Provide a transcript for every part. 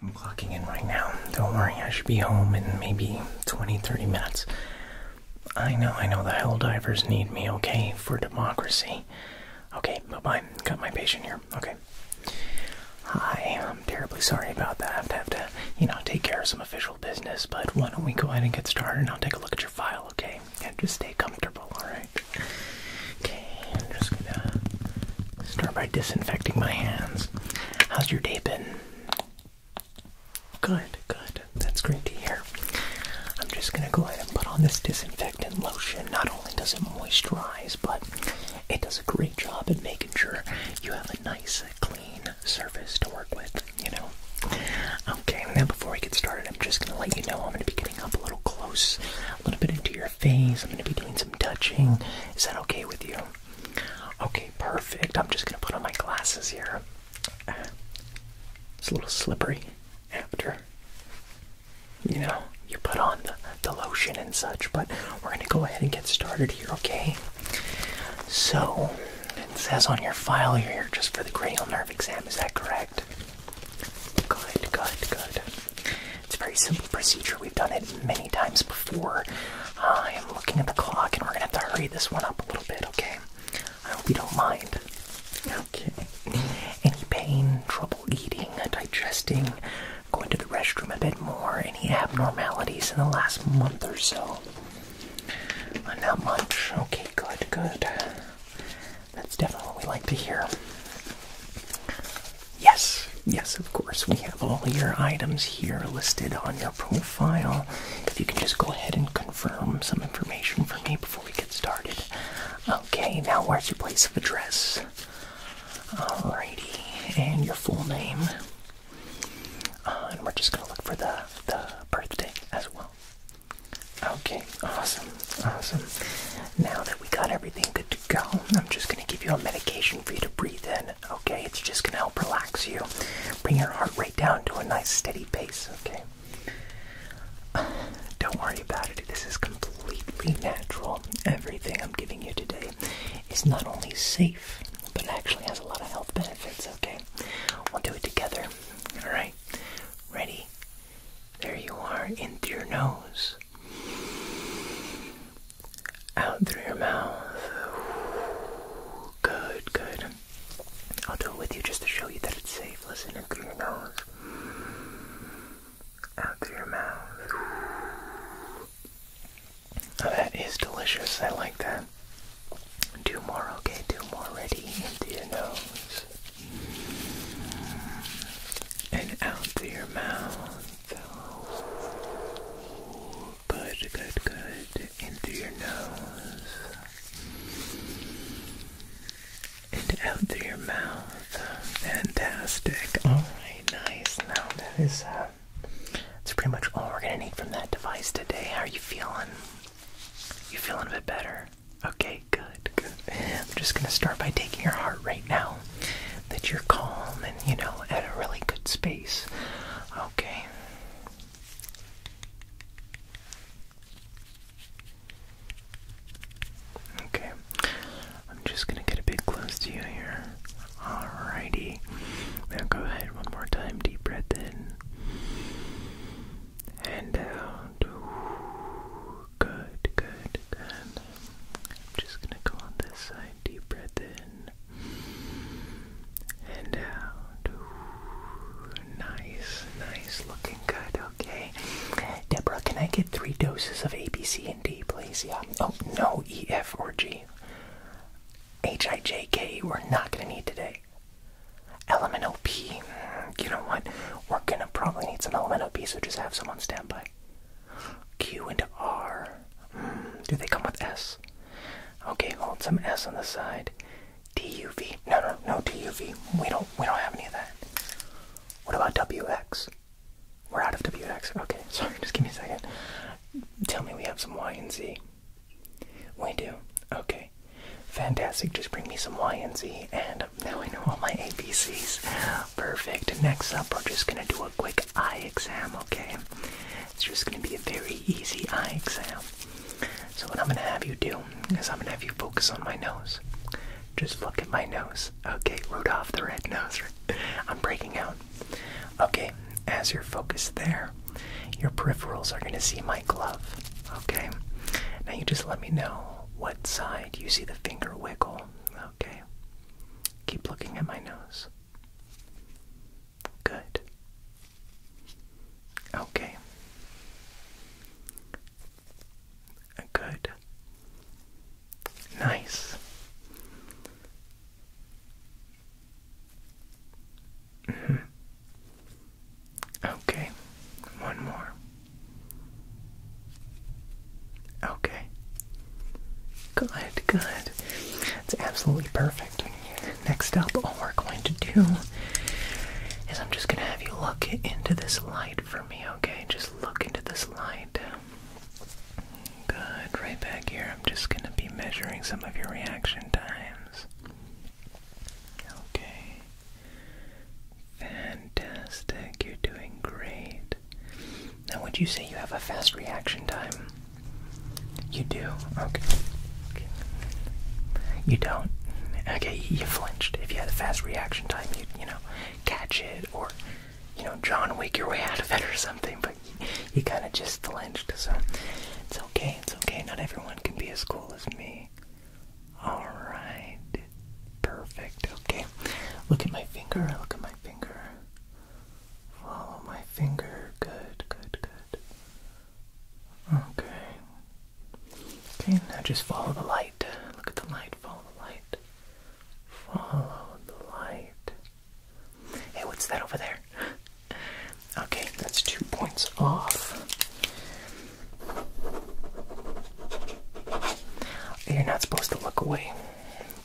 I'm clocking in right now. Don't worry, I should be home in maybe 20 30 minutes. I know, I know the hell divers need me, okay, for democracy. Okay, bye bye. Got my patient here. Okay. Hi, I'm terribly sorry about that. I have to have to, you know, take care of some official business, but why don't we go ahead and get started and I'll take a look at your file, okay? And just stay comfortable, alright? Okay, I'm just gonna Start by disinfecting my hands. How's your day been? Good, good. That's great to hear. I'm just going to go ahead and put on this disinfectant lotion. Not only does it moisturize, but it does a great job at making sure you have a nice, clean surface to work with, you know? Okay, now before we get started, I'm just going to let you know I'm going to be getting up a little close, a little bit into your face. I'm going to be doing some touching. Is that okay with you? Okay, perfect. I'm just gonna put on my glasses here. It's a little slippery after you know you put on the, the lotion and such, but we're gonna go ahead and get started here, okay? So it says on your file you're here just for the cranial nerve exam, is that correct? Good, good, good. It's a very simple procedure. We've done it many times before. I am looking at the clock and we're going to have to hurry this one up a little bit, okay? I hope you don't mind. Okay. Any pain, trouble eating, digesting, going to the restroom a bit more, any abnormalities in the last month or so? Uh, not much. Okay, good, good. That's definitely what we like to hear. Yes, yes, of course. We have all your items here listed on your profile. If you can just go ahead and confirm some information for me before we get started. Okay, now where's your place of address? Alrighty, and your full name. Uh, and we're just gonna look for the the birthday as well. Okay, awesome, awesome. Now that we got everything good to go. I'm just going to give you a medication for you to breathe in, okay? It's just going to help relax you, bring your heart rate down to a nice steady pace, okay? Don't worry about it. This is completely natural. Everything I'm giving you today is not only safe, but actually has a lot of health benefits, okay? We'll do it together. Alright? Ready? There you are. In through your nose out through your mouth. good, good. I'll do it with you just to show you that it's safe. Listen through your nose. Out through your mouth. Oh, that is delicious. I like that. Do more, okay? Do more. Ready? Into your nose. And out through your mouth yourself. Good, good, good. In through your nose. And out through your mouth. Fantastic. Alright, nice. Now that is uh that's pretty much all we're gonna need from that device today. How are you feeling? You feeling a bit better? Okay, good, good. I'm just gonna start by taking your heart right now that you're calm and, you know, at a really good space. Okay. Okay. I'm just going to get a bit close to you here. Alrighty. Now go ahead one more time. Deep breath in. And out. good, good, good. I'm just gonna go on this side. Deep breath in and out. nice, nice, looking good. Okay, Deborah, can I get three doses of A, B, C, and D, please? Yeah. Oh no, E, F, or G. H, I, J, K. We're not gonna need today. Element OP. Mm, you know what? We're gonna probably need some element OP, so just have someone stand by. Q and R. Hmm, do they come with S? Okay, hold some S on the side. DUV. No, no, no DUV. We don't. We don't have any of that. What about WX? We're out of WX. Okay, sorry. Just give me a second. Tell me we have some Y and Z. We do. Okay. Fantastic. Just bring me some Y and Z, and now I know all my ABCs. Perfect. Next up, we're just gonna do a quick eye exam, okay? It's just going to be a very easy eye exam. So, what I'm going to have you do is I'm going to have you focus on my nose. Just look at my nose. Okay, Rudolph the red nose. I'm breaking out. Okay, as you're focused there, your peripherals are going to see my glove. Okay, now you just let me know what side you see the finger wiggle. Okay, keep looking at my nose. Good. Okay. Good. Nice. Mm-hmm. Okay, one more. Okay. Good, good. It's absolutely perfect. Next up, all we're going to do is I'm just going to have you look into this light for me, okay? Just look into this light. Good, right back here. I'm just going to be measuring some of your reaction times. Okay. Fantastic. You're doing great. Now, would you say you have a fast reaction time? You do? Okay. You don't? Okay, you flinched. If you had a fast reaction time, you'd, you know, catch it or, you know, John Wick your way out of it or something, but you kind of just flinched, so it's okay, it's okay. Not everyone can be as cool as me. Alright. Perfect. Okay. Look at my finger. Look at my finger. Follow my finger. Good, good, good. Okay. Okay, now just follow the light. Look at the light. Follow the light. Follow the light. Hey, what's that over there? Okay, that's two points off. You're not supposed to look away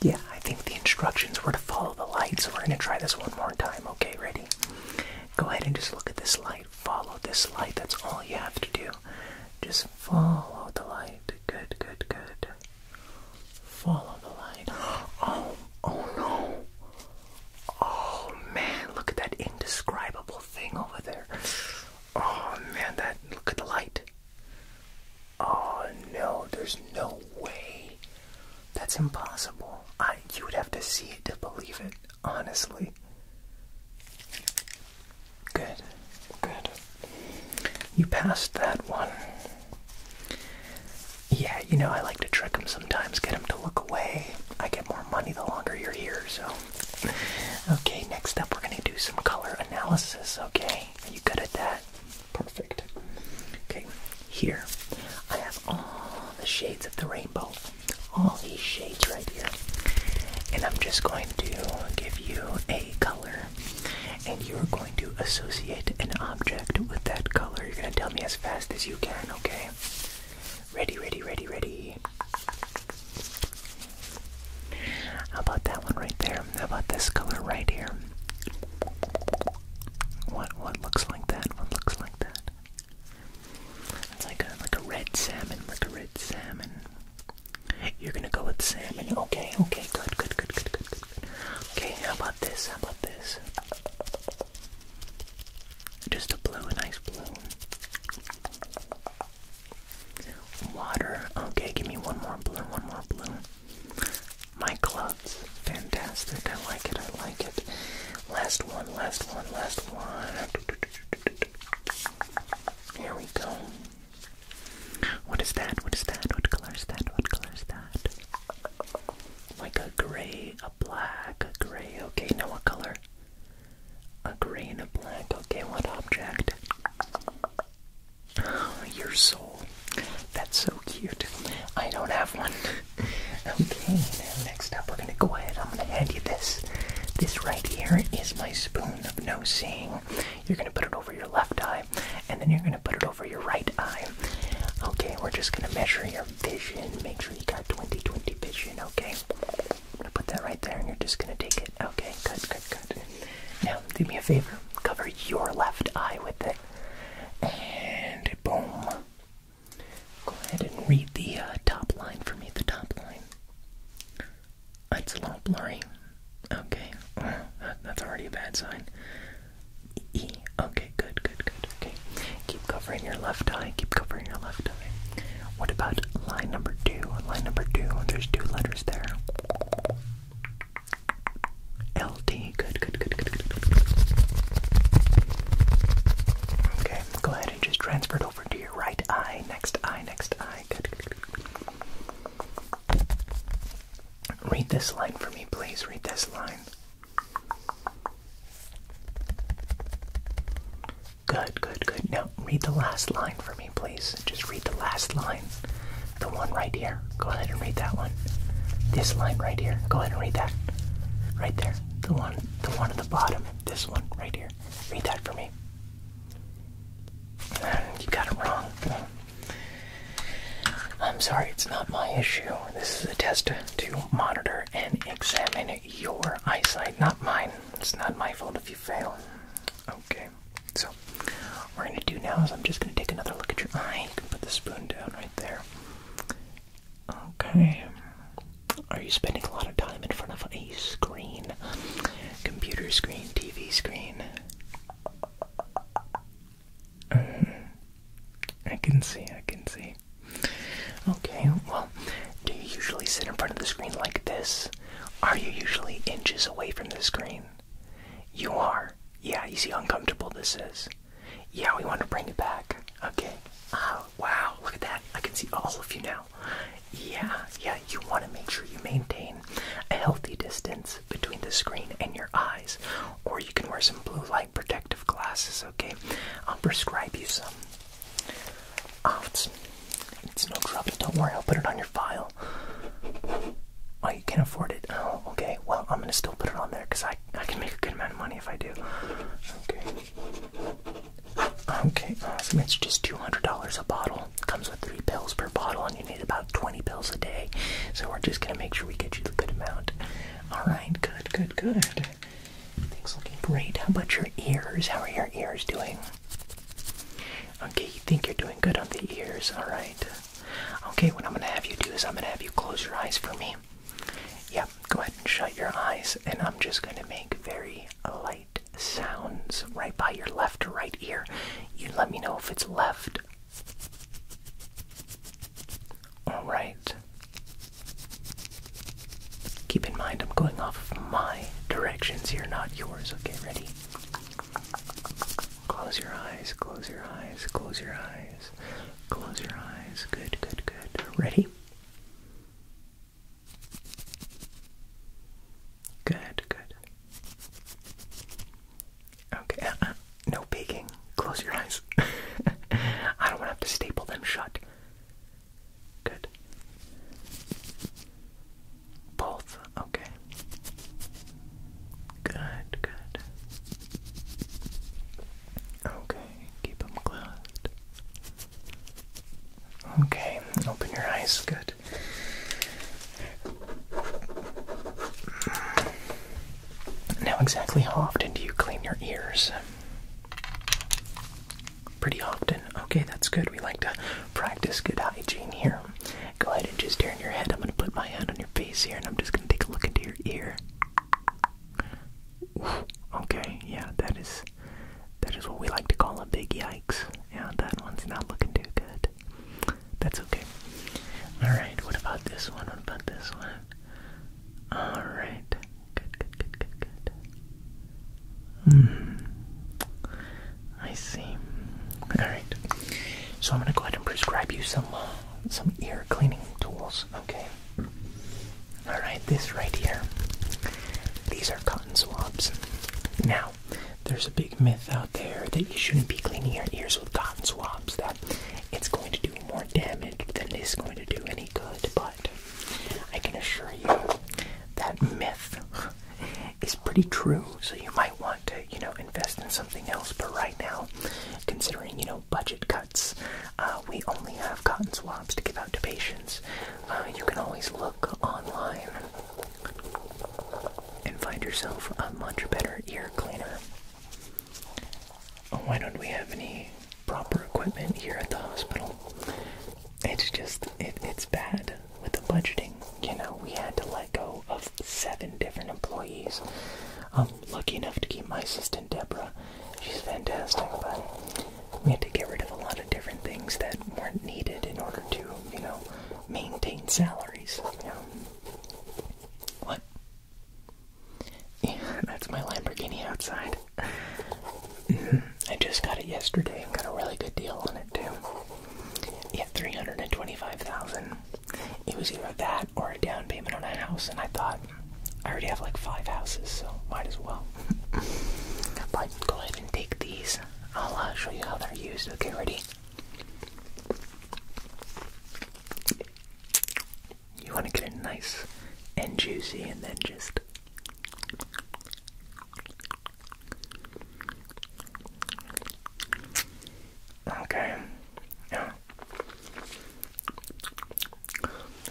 yeah, I think the instructions were to follow the light, so we're going to try this one more time. Okay, ready? Go ahead and just look at this light. Follow this light. That's all you have to do. Just follow the light. Good, good, good. Follow the light. Oh, oh no. Oh man, look at that indescribable thing over there. Oh man, that look at the light. Oh no, there's no way. That's impossible. I you would have to see it to believe it, honestly. Good. Good. You passed that one. Yeah, you know, I like to trick them sometimes, get them to look away. I get more money the longer you're here, so. Okay, next up we're going to do some color analysis, okay? are you good at that? Perfect. Okay, here I have all the shades of the rainbow, all these shades right here. And I'm just going to give you a color, and you're going to associate an object with that color. You're going to tell me as fast as you can, okay? Ready, ready, ready, ready. How about that one right there? How about this color right here? What what looks like that? What looks like that? It's like a like a red salmon, like a red salmon. You're gonna go with salmon, okay? Okay, good, good, good, good, good, good. Okay, how about this? How about this? Just a blue, a nice blue. Water. Okay, give me one more blue, one more blue. My gloves, fantastic. I like it. I like it. Last one, last one, last one. Here we go. What is that? What is that? What color is that? What color is that? Like a gray, a black, a gray. Okay, now what color? A gray and a black. Okay, what object? Your soul. That's so cute. I don't have one. okay, next up, we're gonna go ahead. I'm gonna hand you this. This right here is my spoon of no seeing. You're gonna put it over your left eye, and then you're gonna put it over your right eye. Okay, we're just gonna measure your vision. Make sure you got 20 20 vision, okay? I'm gonna put that right there, and you're just gonna take it. Okay, Good. good, good, now, do me a favor. Cover your left eye with it. And boom. Go ahead and read the uh, top line for me. The top line. It's a little blurry. Okay. that's already a bad sign. E. Okay, good, good, good. Okay. Keep covering your left eye. Keep covering your left eye. What about line number two? Line number two, there's two letters there. LD. Good, good, good, good, good, good. Okay, go ahead and just transfer it over to your right eye. Next eye, next eye. Good, good, good. Read this line for me, please. Read this line. Good, good, good. Now, read the last line for me, please just read the last line. The one right here. Go ahead and read that one. This line right here. Go ahead and read that. Right there. The one the one at the bottom. This one right here. Read that for me. You got it wrong. I'm sorry, it's not my issue. This is a test to monitor and examine your eyesight, not mine. It's not my fault if you fail. Okay so what we're gonna do now is I'm just gonna take another look at your eye. You can put the spoon down right there. Okay. Are you spending a lot of time in front of a screen? Computer screen, TV screen. Mm-hmm. I can see, I can see. Okay, well, do you usually sit in front of the screen like this? Are you usually inches away from the screen? You are. Yeah, you see how uncomfortable this is. Yeah, we want to bring it back. Okay. Oh, wow, look at that. I can see all of you now. Yeah, yeah, you want to make sure you maintain a healthy distance between the screen and your eyes. Or you can wear some blue light protective glasses, okay? I'll prescribe you some. Oh, it's no trouble. Don't worry, I'll put it on your file. Oh, you can't afford it. Oh, okay. Well, I'm gonna still put it on there because I I can make a good amount of money if I do. Okay. Okay. Awesome. Uh, it's just two hundred dollars a bottle. Comes with three pills per bottle, and you need about twenty pills a day. So we're just gonna make sure we get you the good amount. All right. Good. Good. Good. Things looking great. How about your ears? How are your ears doing? Okay, you think you're doing good on the ears, alright. Okay, what I'm gonna have you do is I'm gonna have you close your eyes for me. Yeah. go ahead and shut your eyes, and I'm just gonna make very light sounds right by your left or right ear. You let me know if it's left. Alright. Keep in mind, I'm going off of my directions here, not yours. Okay, ready? Close your eyes, close your eyes, close your eyes, close your eyes. Good, good, good. Ready? Good, good. Okay, uh, uh, no peeking. Close your eyes. I don't want to have to staple them shut. Good. Both Okay. Good, good. Okay, keep them closed. Okay, open your eyes. Good. Now, exactly how often do you clean your ears? Pretty often. Okay, that's good. We like to practice good hygiene here. Go ahead and just turn your head. I'm going to put my hand on your face here and I'm just going to take a look into your ear. okay, yeah, that is that is what we like to call a big yikes. Yeah, that one's not looking too good. That's okay. Alright, what about this one? What about this one? Alright. Good, good, good, good, good. Hmm. I see. Alright. So I'm going to go ahead and prescribe you some uh, some ear cleaning tools. Okay. All right. This right here. These are cotton swabs. Now, there's a big myth out there that you shouldn't be cleaning your ears with cotton swabs. That it's going to do more damage than it's going to do any good. But I can assure you that myth is pretty true. So you might want want to, you know, invest in something else. But right now, considering, you know, budget cuts, uh, we only have cotton swabs to give out to patients. Uh, you can always look online and find yourself a much better ear cleaner. Oh, why don't we have any proper equipment here at the hospital? It's just, it, it's bad with the budgeting. You know, we had to let go of seven different employees. I'm lucky enough to keep my assistant Deborah. She's fantastic, but we had to get rid of a lot of different things that weren't needed in order to, you know, maintain salaries. What? Yeah, that's my Lamborghini outside. I just got it yesterday and got a really good deal on it too. Yeah, three hundred and twenty-five thousand it was either that or a down payment on a house, and I thought I already have like five houses, so might as well. but go ahead and take these. I'll uh, show you how they're used. Okay, ready? You want to get it nice and juicy, and then just. Okay. Yeah.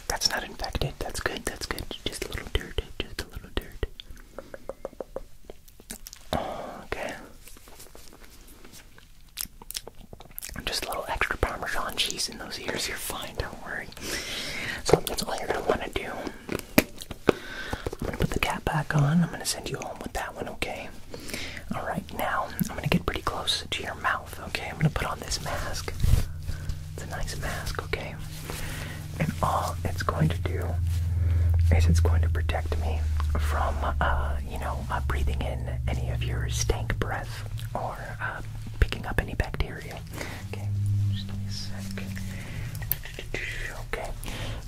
That's not infected. That's good. That's good. Just a little dirt. Just a little dirt. Okay. Just a little extra Parmesan cheese in those ears. You're fine. Don't worry. So that's all you're gonna want to do. I'm gonna put the cap back on. I'm gonna send you home with that one. Okay. All right, now I'm gonna get pretty close to your mouth. Okay, I'm gonna put on this mask. It's a nice mask, okay? And all it's going to do is it's going to protect me from, uh, you know, uh, breathing in any of your stank breath or uh, picking up any bacteria. Okay, just a sec. Okay,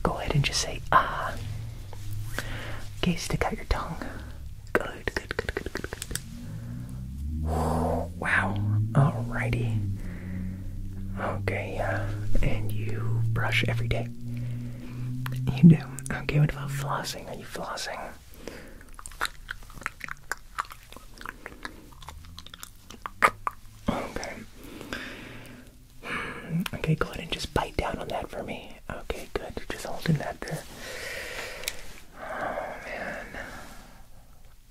go ahead and just say ah. Okay, stick out your tongue. Good, good, good, good, good, good. Wow. Alrighty. Okay, uh, And you brush every day. You do. Okay, what about flossing? Are you flossing? Okay. Okay, go ahead and just bite down on that for me. Okay, good. Just holding that there. Oh man.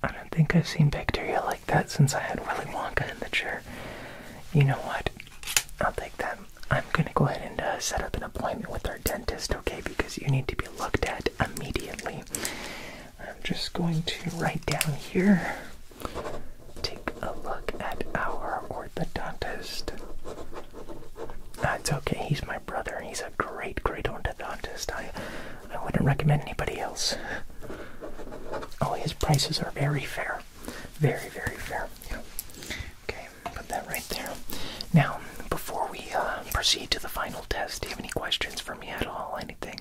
I don't think I've seen bacteria like that since I had Willy Wonka in the chair. You know what? I'll take that. I'm gonna go ahead and uh, set up an appointment with our dentist, okay? Because you need to be looked at immediately. I'm just going to write down here take a look at our orthodontist. That's okay, he's my brother. He's a great, great orthodontist. I, I wouldn't recommend anybody else. Oh, his prices are very fair. Very, very fair. Okay, put that right there. Now, before we uh, proceed to the final test, do you have any questions for me at all? Anything?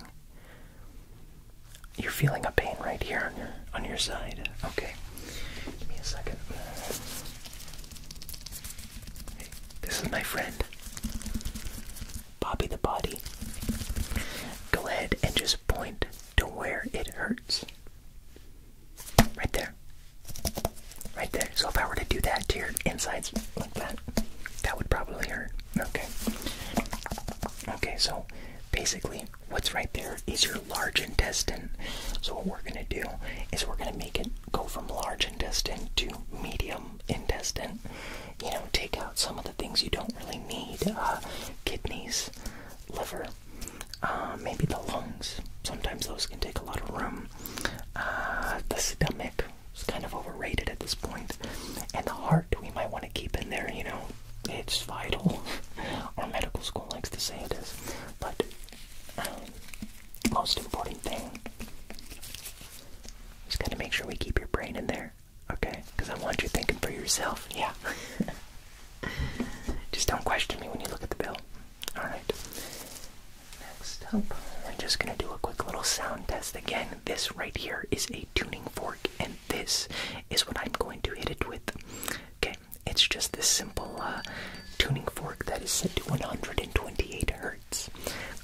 You're feeling a pain right here on your on your side. Okay. Give me a second. this is my friend, Bobby the Body. Go ahead and just point to where it hurts. Right there. Right there. So if I were to do that to your insides like that, that would probably hurt. Okay. Okay, so basically, What's right there is your large intestine. So what we're going to do is we're going to make it go from large intestine to medium intestine. You know, take out some of the things you don't really need. Uh, kidneys, liver, uh, maybe the lungs. Sometimes those can take a lot of room. Uh, the stomach is kind of overrated at this And the heart we might want to keep in there, you know, it's vital. Our medical school likes to say it is. But um, most important thing is gotta make sure we keep your brain in there, okay? Because I want you thinking for yourself. Yeah. just don't question me when you look at the bill. Alright. Next up, I'm just gonna do a quick little sound test again. This right here is a tuning fork, and this is what I'm going to hit it with. Okay, it's just this simple uh, tuning fork that is set to 128 hertz.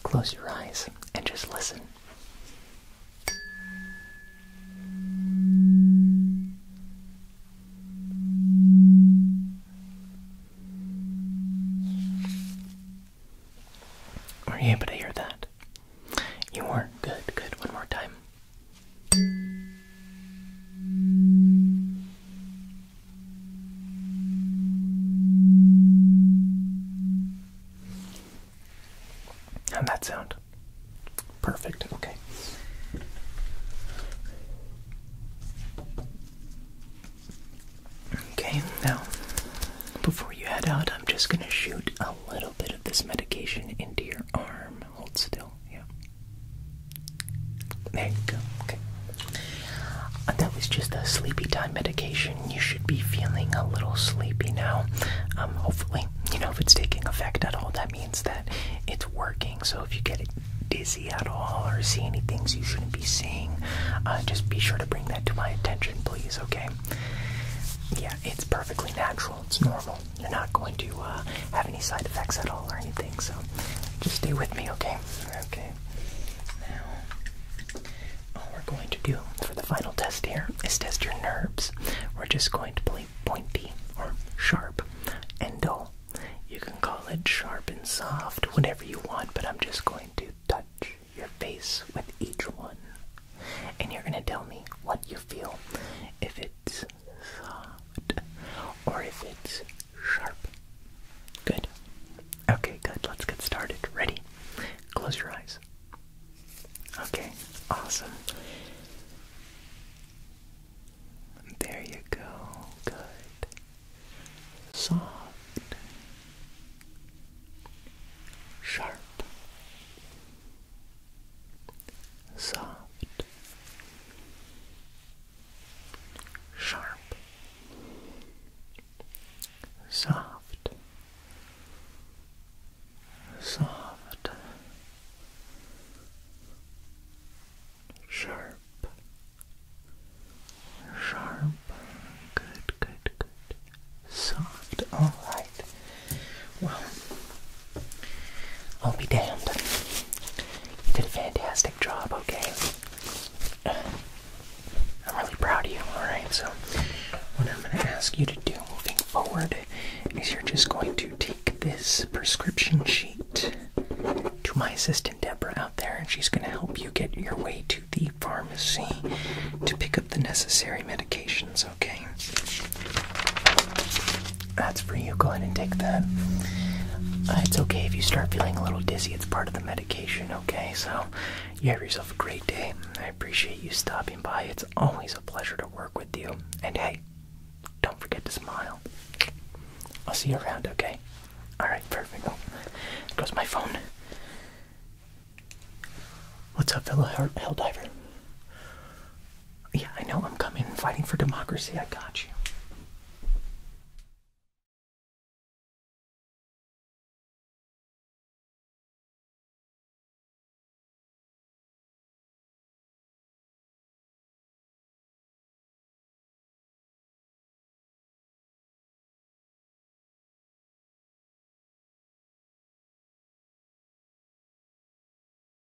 Close your eyes and just listen. Are you able to hear that? You were good, good. One more time. And that sound? Perfect, okay. Okay, now, before you head out, I'm just gonna shoot a little bit of this medication into your arm. Hold still, yeah. There you go. Okay. Uh, that was just a sleepy time medication. You should be feeling a little sleepy now. Um, hopefully, you know, if it's taking effect at all, that means that it's working. So if you get dizzy at all or see any things you shouldn't be seeing, uh, just be sure to bring that to my attention, please, okay? Yeah, it's perfectly natural. It's normal. You're not going to uh, have any side effects at all or anything. So just stay with me, okay? Okay. Now, all we're going to do for the final test here is test your nerves. We're just going to play pointy or sharp and dull. You can call it sharp and soft, whatever you want, but I'm just going to touch your face with each one. And you're going to tell me what you feel. If it's soft or if it's sharp. Good. Okay, good. Let's get started. Ready? Close your eyes. Okay, awesome. There you go. Good. Soft. Sharp soft, sharp, soft, soft, sharp. Sharp, good, good, good. Soft, all right. Well, I'll be damned. You did a fantastic job, okay? I'm really proud of you, alright? So, what I'm going to ask you to do moving forward is you're just going to take this prescription sheet to my assistant Deborah out there, and she's going to help you get your way to the pharmacy to pick up the necessary medications, okay? That's for you. Go ahead and take that. Uh, it's okay if you start feeling a little dizzy. It's part of the medication, okay? So you have yourself a great day. I appreciate you stopping by. It's always a pleasure to work with you. And hey, don't forget to smile. I'll see you around, okay? Alright, perfect. Oh, goes my phone. What's up, fellow hell diver? Yeah, I know. I'm coming. Fighting for democracy. I got you.